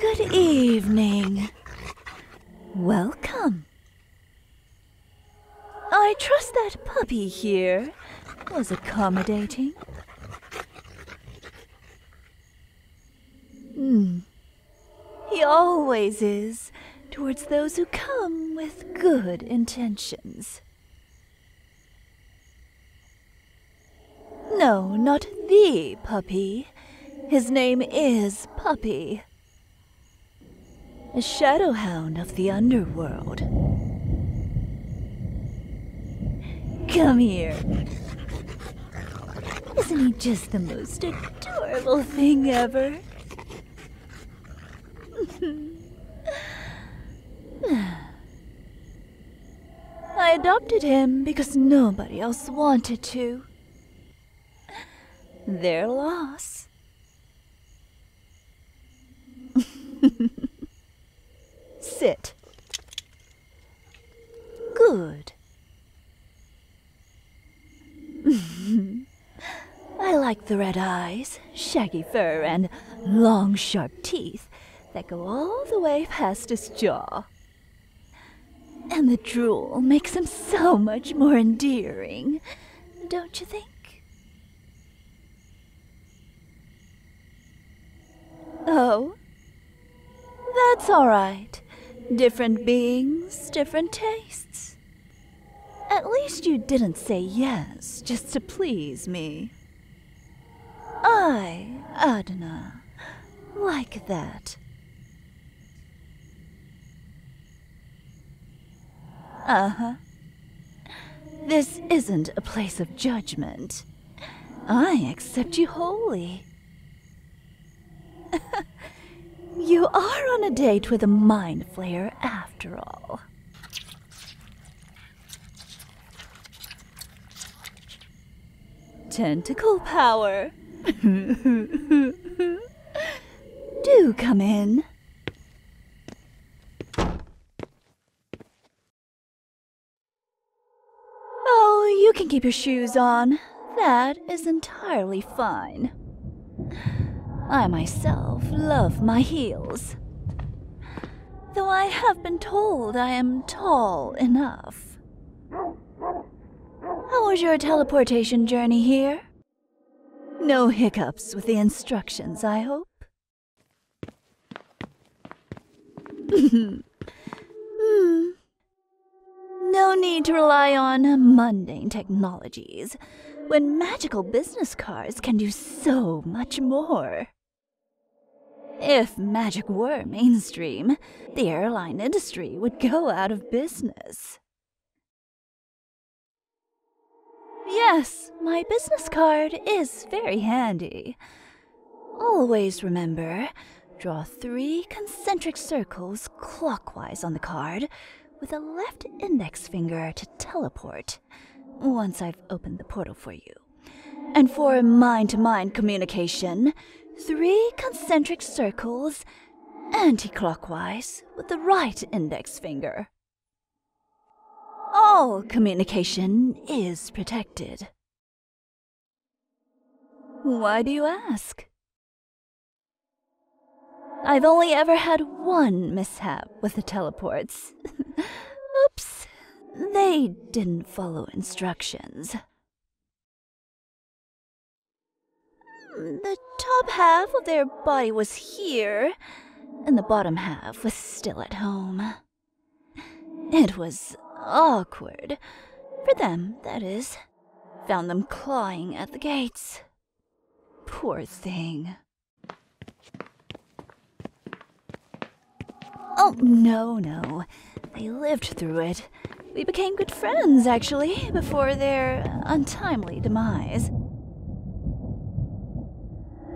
Good evening. Welcome. I trust that puppy here was accommodating. Hmm. He always is towards those who come with good intentions. No, not the puppy. His name is Puppy. A shadowhound of the underworld. Come here. Isn't he just the most adorable thing ever? I adopted him because nobody else wanted to. Their loss. Sit. Good. I like the red eyes, shaggy fur, and long sharp teeth that go all the way past his jaw. And the drool makes him so much more endearing, don't you think? Oh, that's all right. Different beings, different tastes. At least you didn't say yes just to please me. I, Adna, like that. Uh huh. This isn't a place of judgment. I accept you wholly. you are on a date with a mind flayer after all. Tentacle power. Do come in. Oh, you can keep your shoes on. That is entirely fine. I myself love my heels though I have been told I am tall enough. How was your teleportation journey here? No hiccups with the instructions, I hope. Hmm. No need to rely on mundane technologies when magical business cards can do so much more. If magic were mainstream, the airline industry would go out of business. Yes, my business card is very handy. Always remember, draw three concentric circles clockwise on the card with a left index finger to teleport once I've opened the portal for you. And for mind to mind communication, three concentric circles anti clockwise with the right index finger. All communication is protected. Why do you ask? I've only ever had one mishap with the teleports. They didn't follow instructions. The top half of their body was here, and the bottom half was still at home. It was awkward. For them, that is. Found them clawing at the gates. Poor thing. Oh, no, no. They lived through it. We became good friends, actually, before their untimely demise.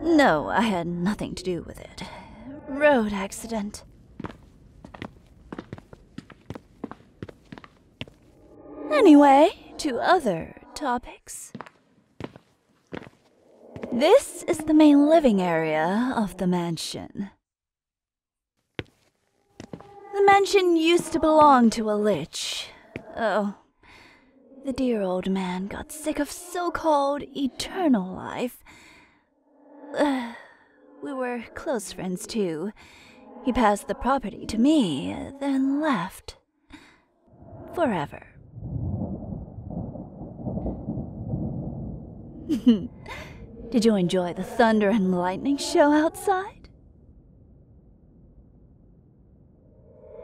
No, I had nothing to do with it. Road accident. Anyway, to other topics. This is the main living area of the mansion. The mansion used to belong to a lich. Oh, the dear old man got sick of so-called eternal life. we were close friends, too. He passed the property to me, then left. Forever. Did you enjoy the thunder and lightning show outside?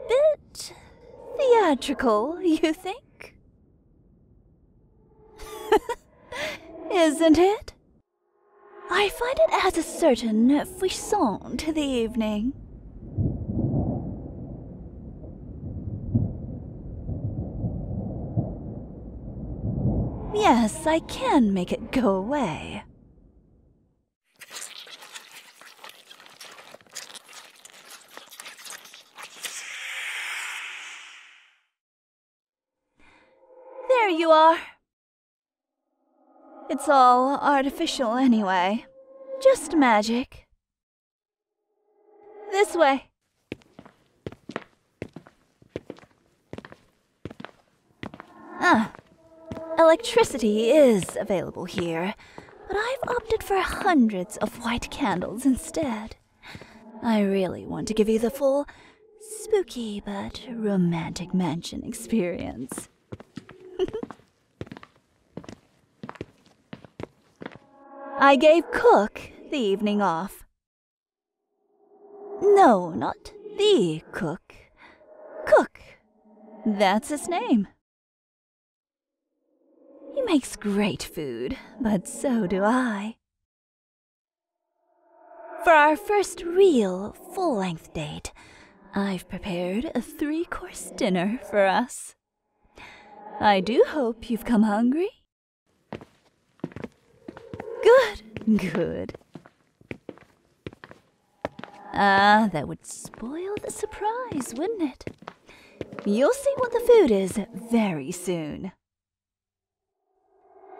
Bit theatrical, you think? Isn't it? I find it adds a certain frisson to the evening. Yes, I can make it go away. There you are. It's all artificial anyway. Just magic. This way. Ah, electricity is available here, but I've opted for hundreds of white candles instead. I really want to give you the full, spooky but romantic mansion experience. I gave Cook the evening off. No, not the Cook. Cook. That's his name. He makes great food, but so do I. For our first real full-length date, I've prepared a three-course dinner for us. I do hope you've come hungry. Good, good. Ah, that would spoil the surprise, wouldn't it? You'll see what the food is very soon.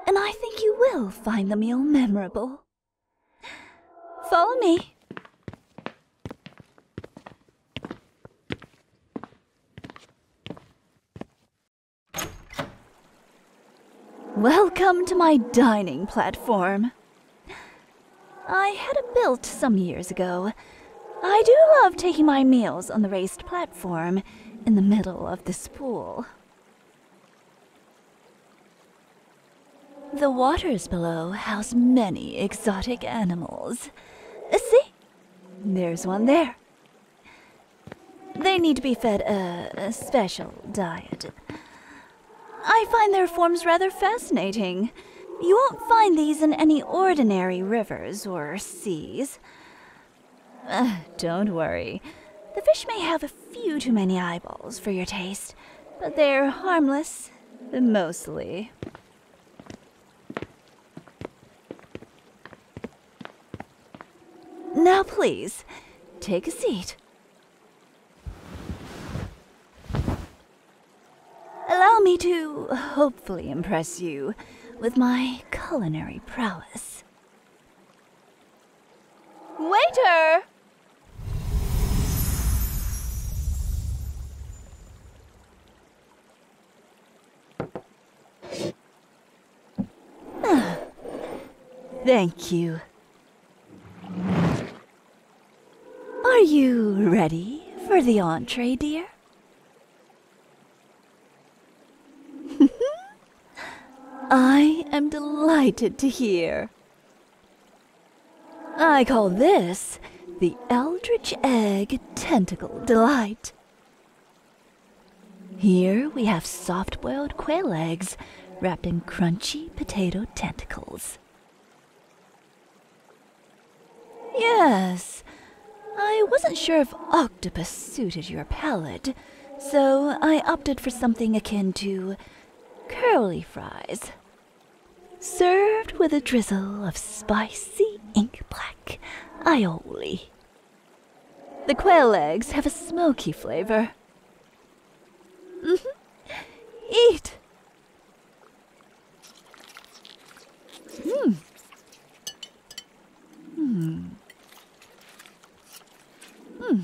And I think you will find the meal memorable. Follow me. Welcome to my dining platform. I had it built some years ago. I do love taking my meals on the raised platform in the middle of this pool. The waters below house many exotic animals. See? There's one there. They need to be fed a, special diet. I find their forms rather fascinating. You won't find these in any ordinary rivers or seas. don't worry. The fish may have a few too many eyeballs for your taste, but they're harmless, mostly. Now please, take a seat. Allow me to hopefully impress you with my culinary prowess. Waiter! Ah. Thank you. Are you ready for the entree, dear? I am delighted to hear. I call this the Eldritch Egg Tentacle Delight. Here we have soft boiled quail eggs wrapped in crunchy potato tentacles. Yes, I wasn't sure if octopus suited your palate, so I opted for something akin to curly fries served with a drizzle of spicy ink black aioli. The quail eggs have a smoky flavor. Mm-hmm. Eat! Mm. Mm. Mm.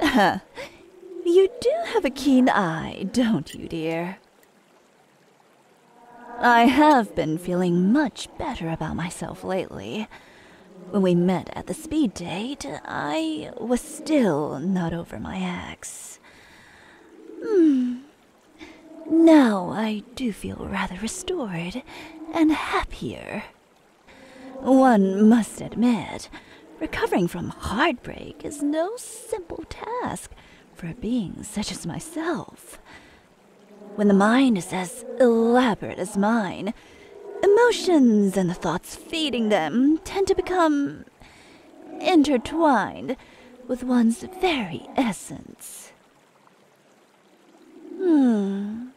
you do have a keen eye, don't you, dear? I have been feeling much better about myself lately. When we met at the speed date, I was still not over my ex. Hmm. Now I do feel rather restored and happier. One must admit, Recovering from heartbreak is no simple task for a being such as myself. When the mind is as elaborate as mine, emotions and the thoughts feeding them tend to become intertwined with one's very essence. Hmm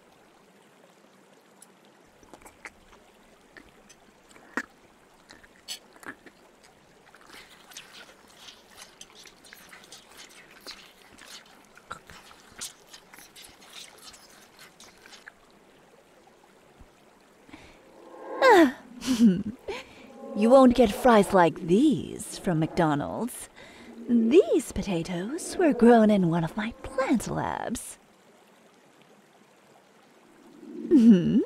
you won't get fries like these from McDonald's. These potatoes were grown in one of my plant labs hmm?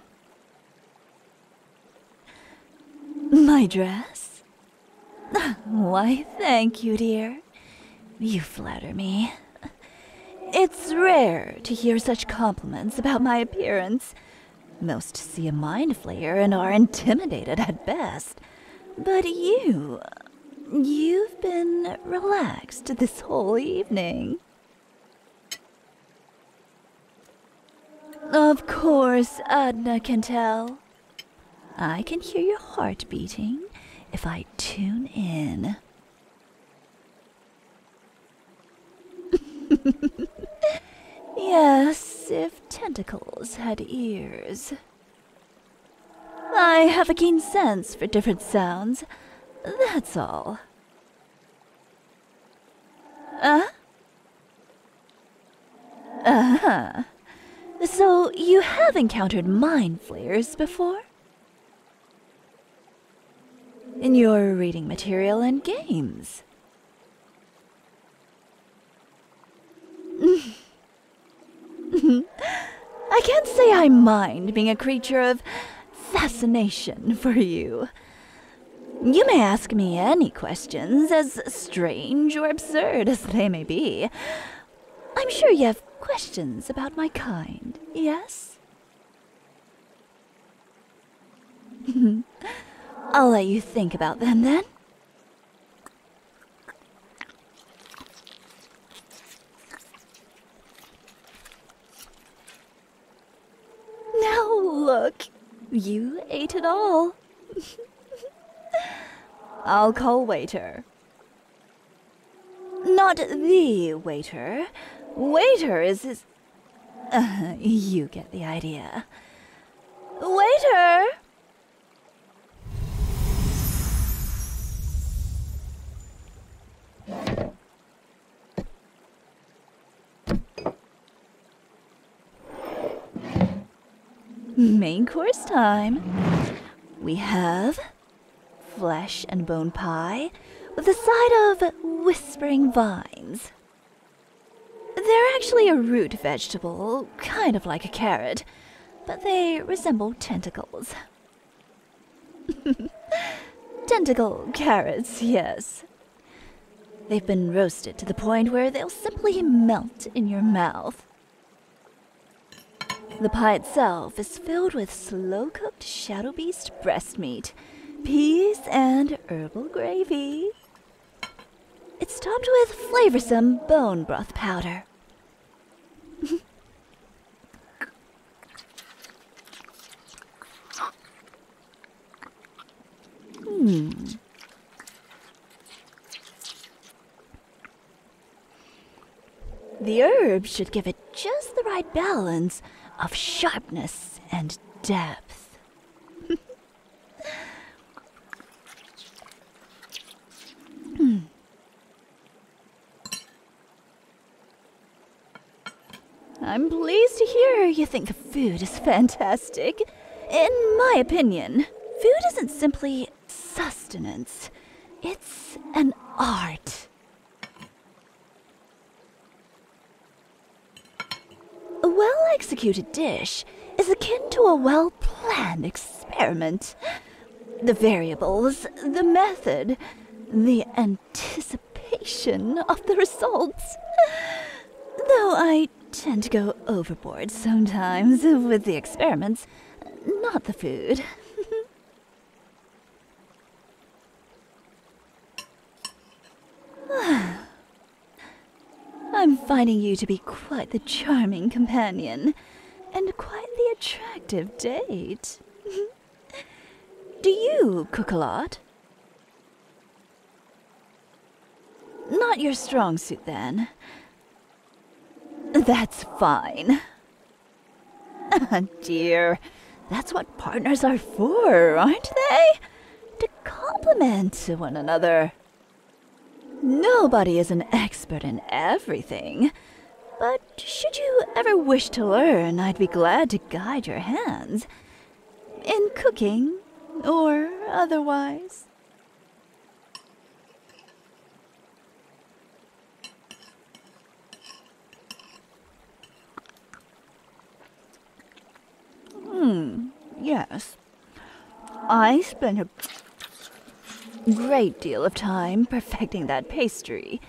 My dress? Why, thank you, dear. You flatter me. It's rare to hear such compliments about my appearance. Most see a mind flayer and are intimidated at best. But you. You've been relaxed this whole evening. Of course, Adna can tell. I can hear your heart beating if I tune in. yes, if tentacles had ears. I have a keen sense for different sounds, that's all. Uh? Uh-huh. So you have encountered mind flayers before? In your reading material and games. I can't say I mind being a creature of fascination for you. You may ask me any questions, as strange or absurd as they may be. I'm sure you have questions about my kind, yes? I'll let you think about them then. Now look, you ate it all. I'll call waiter. Not the waiter. Waiter is his... you get the idea. Waiter! Main course time. We have flesh and bone pie with a side of whispering vines. They're actually a root vegetable, kind of like a carrot, but they resemble tentacles. Tentacle carrots, yes. They've been roasted to the point where they'll simply melt in your mouth. The pie itself is filled with slow cooked shadow beast breast meat, peas, and herbal gravy. It's topped with flavorsome bone broth powder. Hmm. The herbs should give it just the right balance of sharpness and depth. hmm. I'm pleased to hear you think the food is fantastic. In my opinion, food isn't simply sustenance, it's an art. A well executed dish is akin to a well planned experiment. The variables, the method, the anticipation of the results. Though I tend to go overboard sometimes with the experiments, not the food. I'm finding you to be quite the charming companion and quite the attractive date. Do you cook a lot? Not your strong suit, then. That's fine. Oh dear, that's what partners are for, aren't they? To complement one another. Nobody is an expert in everything, but should you ever wish to learn, I'd be glad to guide your hands. In cooking, or otherwise. Hmm, yes. I spent a great deal of time perfecting that pastry.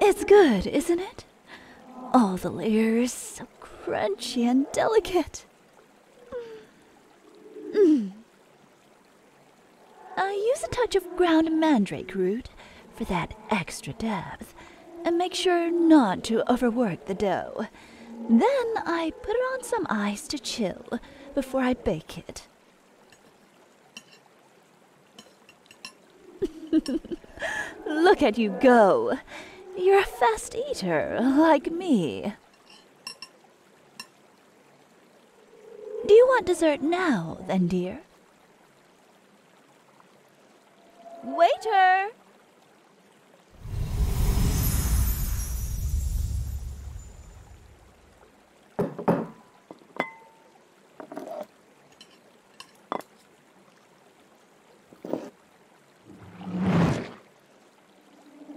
It's good, isn't it? All the layers so crunchy and delicate. Mm. I use a touch of ground mandrake root for that extra depth, and make sure not to overwork the dough. Then I put it on some ice to chill before I bake it. Look at you go. You're a fast eater, like me. Do you want dessert now, then, dear? Waiter!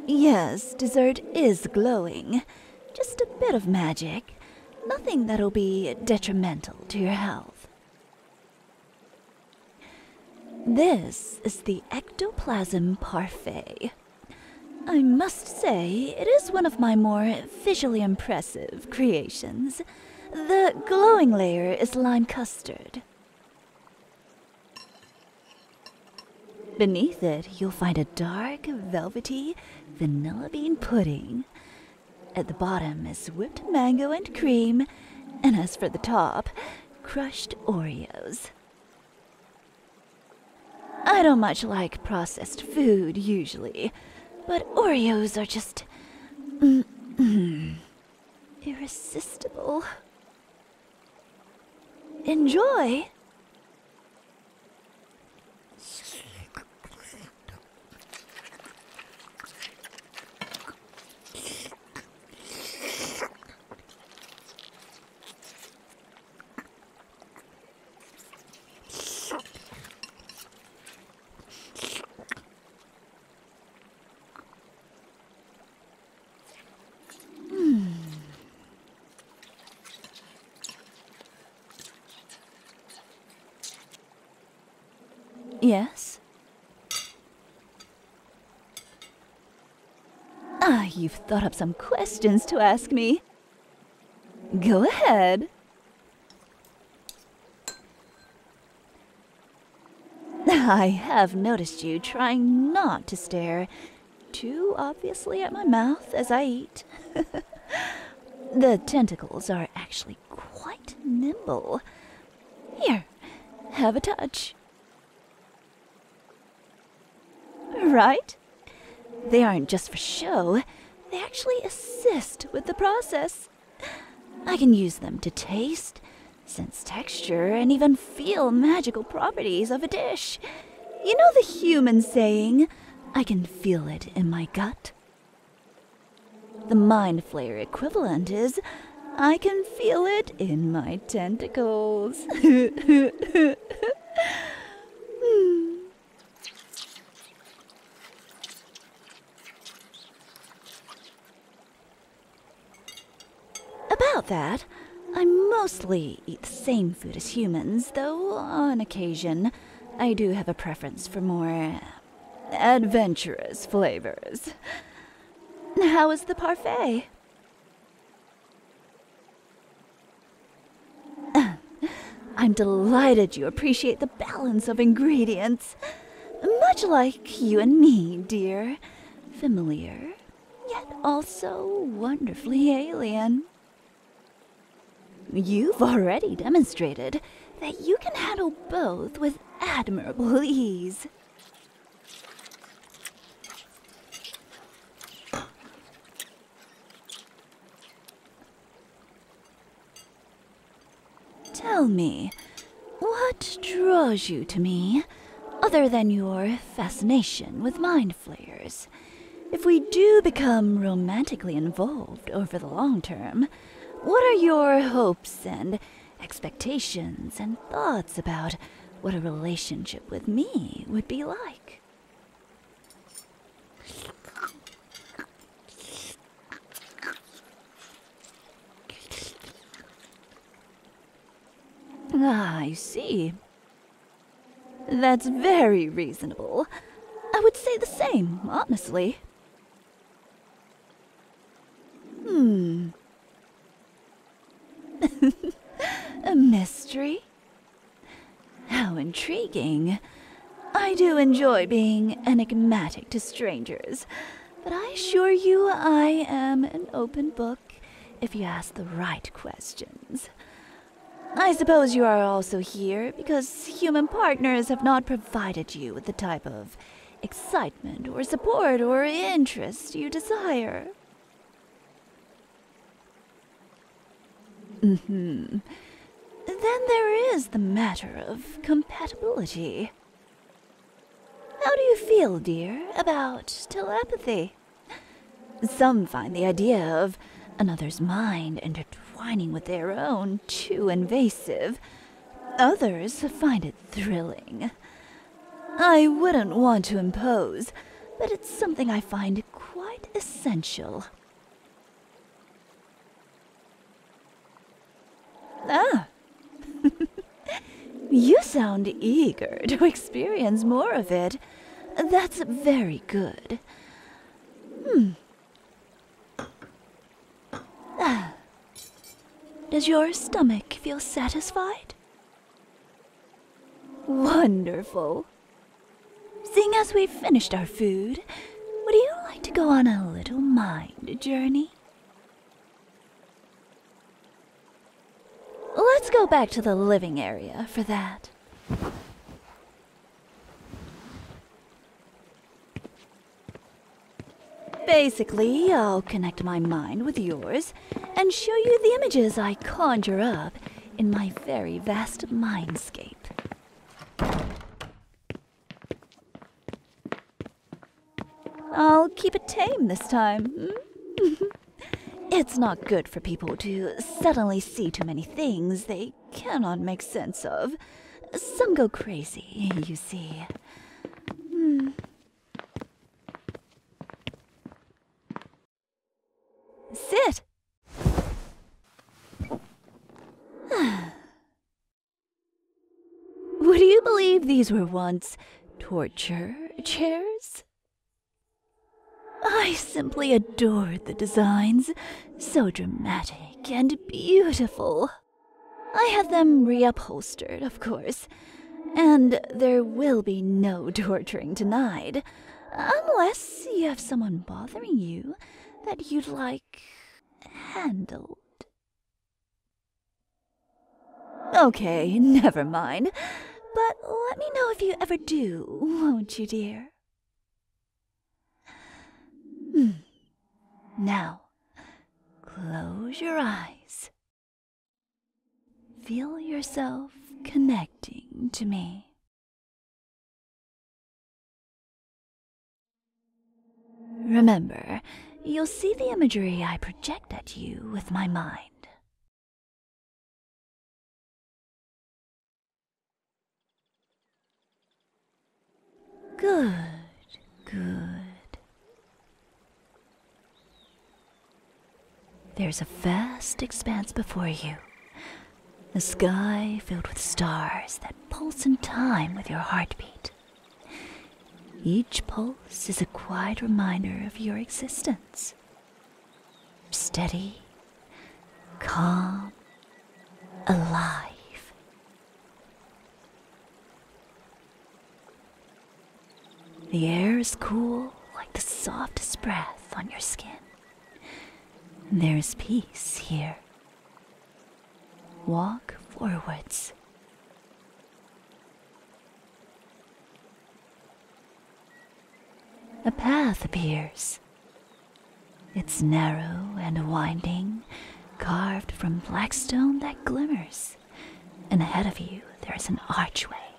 Yes, dessert is glowing. Just a bit of magic. Nothing that'll be detrimental to your health. This is the Ectoplasm Parfait. I must say, it is one of my more visually impressive creations. The glowing layer is lime custard. Beneath it, you'll find a dark, velvety vanilla bean pudding. At the bottom is whipped mango and cream, and as for the top, crushed Oreos. I don't much like processed food usually, but Oreos are just... Mm, mm, irresistible. Enjoy! Hmm. Yes? Ah, you've thought up some questions to ask me. Go ahead. I have noticed you trying not to stare too obviously at my mouth as I eat. the tentacles are actually quite nimble. Here, have a touch. Right? They aren't just for show, they actually assist with the process. I can use them to taste, sense texture, and even feel magical properties of a dish. You know the human saying, I can feel it in my gut? The mind flayer equivalent is, I can feel it in my tentacles. Hmm. About that, I mostly eat the same food as humans, though on occasion I do have a preference for more adventurous flavors. How is the parfait? I'm delighted you appreciate the balance of ingredients. Much like you and me, dear. Familiar, yet also wonderfully alien. You've already demonstrated that you can handle both with admirable ease. Tell me, what draws you to me, other than your fascination with mind flayers? If we do become romantically involved over the long term, what are your hopes and expectations and thoughts about what a relationship with me would be like? Ah, I see. That's very reasonable. I would say the same, honestly. Hmm. A mystery? How intriguing. I do enjoy being enigmatic to strangers, but I assure you I am an open book if you ask the right questions. I suppose you are also here because human partners have not provided you with the type of excitement or support or interest you desire. Mm-hmm. Then there is the matter of compatibility. How do you feel, dear, about telepathy? Some find the idea of another's mind intertwining with their own too invasive. Others find it thrilling. I wouldn't want to impose, but it's something I find quite essential. Ah! you sound eager to experience more of it. That's very good. Hmm. Ah. Does your stomach feel satisfied? Wonderful. Seeing as we've finished our food, would you like to go on a little mind journey? Let's go back to the living area for that. Basically, I'll connect my mind with yours and show you the images I conjure up in my very vast mindscape. I'll keep it tame this time. it's not good for people to suddenly see too many things they cannot make sense of. Some go crazy, you see. Hmm. Sit! Would you believe these were once torture chairs? I simply adored the designs. So dramatic and beautiful. I had them reupholstered, of course. And there will be no torturing denied. Unless you have someone bothering you that you'd like handled. Okay, never mind. But let me know if you ever do, won't you, dear? Hmm. Now, close your eyes. Feel yourself connecting to me. Remember, you'll see the imagery I project at you with my mind. Good, good. There's a vast expanse before you, the sky filled with stars that pulse in time with your heartbeat. Each pulse is a quiet reminder of your existence. Steady, calm, alive. The air is cool like the softest breath on your skin. There is peace here. Walk forwards. A path appears. It's narrow and winding, carved from black stone that glimmers. And ahead of you, there is an archway,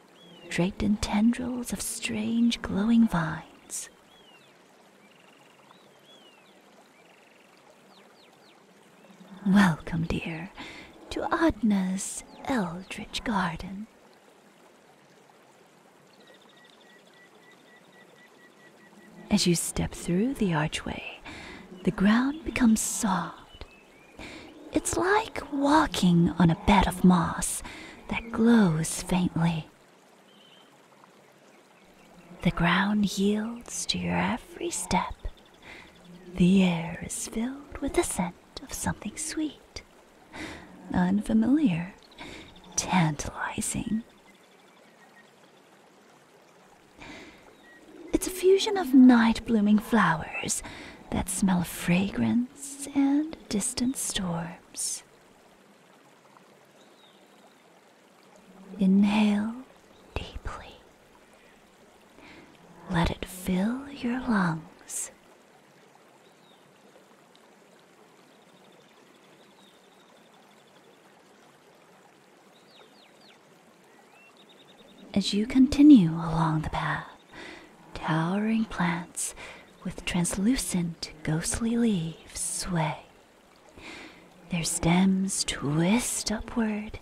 draped in tendrils of strange glowing vines. Welcome, dear, to Adna's Eldritch Garden. As you step through the archway, the ground becomes soft. It's like walking on a bed of moss that glows faintly. The ground yields to your every step. The air is filled with the scent of something sweet, unfamiliar, tantalizing. It's a fusion of night blooming flowers that smell of fragrance and distant storms. Inhale deeply. Let it fill your lungs. As you continue along the path, towering plants with translucent, ghostly leaves sway. Their stems twist upward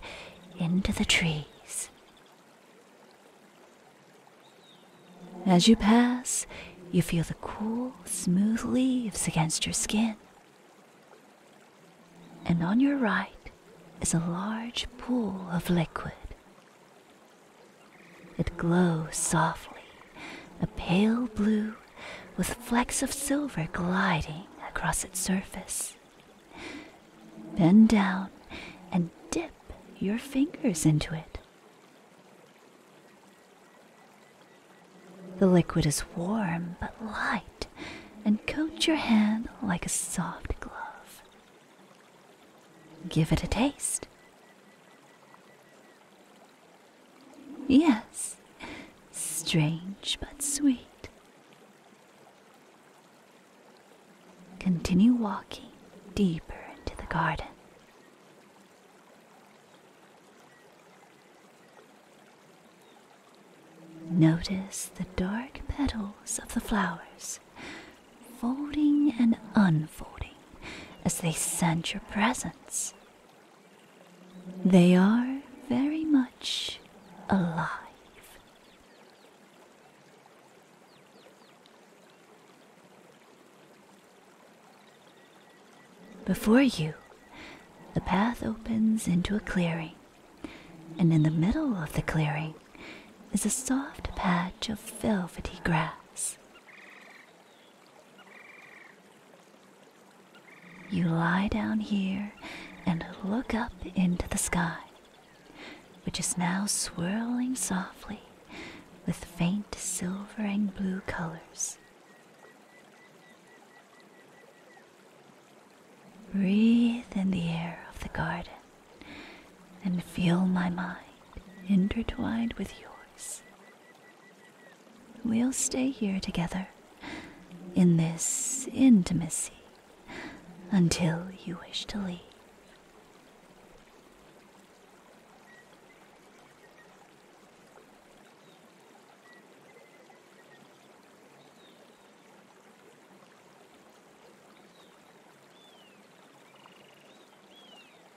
into the trees. As you pass, you feel the cool, smooth leaves against your skin. And on your right is a large pool of liquid. It glows softly, a pale blue with flecks of silver gliding across its surface. Bend down and dip your fingers into it. The liquid is warm but light and coats your hand like a soft glove. Give it a taste. Yes, strange but sweet. Continue walking deeper into the garden. Notice the dark petals of the flowers folding and unfolding as they send your presence, They are very much alive. Before you, the path opens into a clearing, and in the middle of the clearing is a soft patch of velvety grass. You lie down here and look up into the sky, which is now swirling softly with faint silver and blue colors. Breathe in the air of the garden and feel my mind intertwined with yours. We'll stay here together in this intimacy until you wish to leave.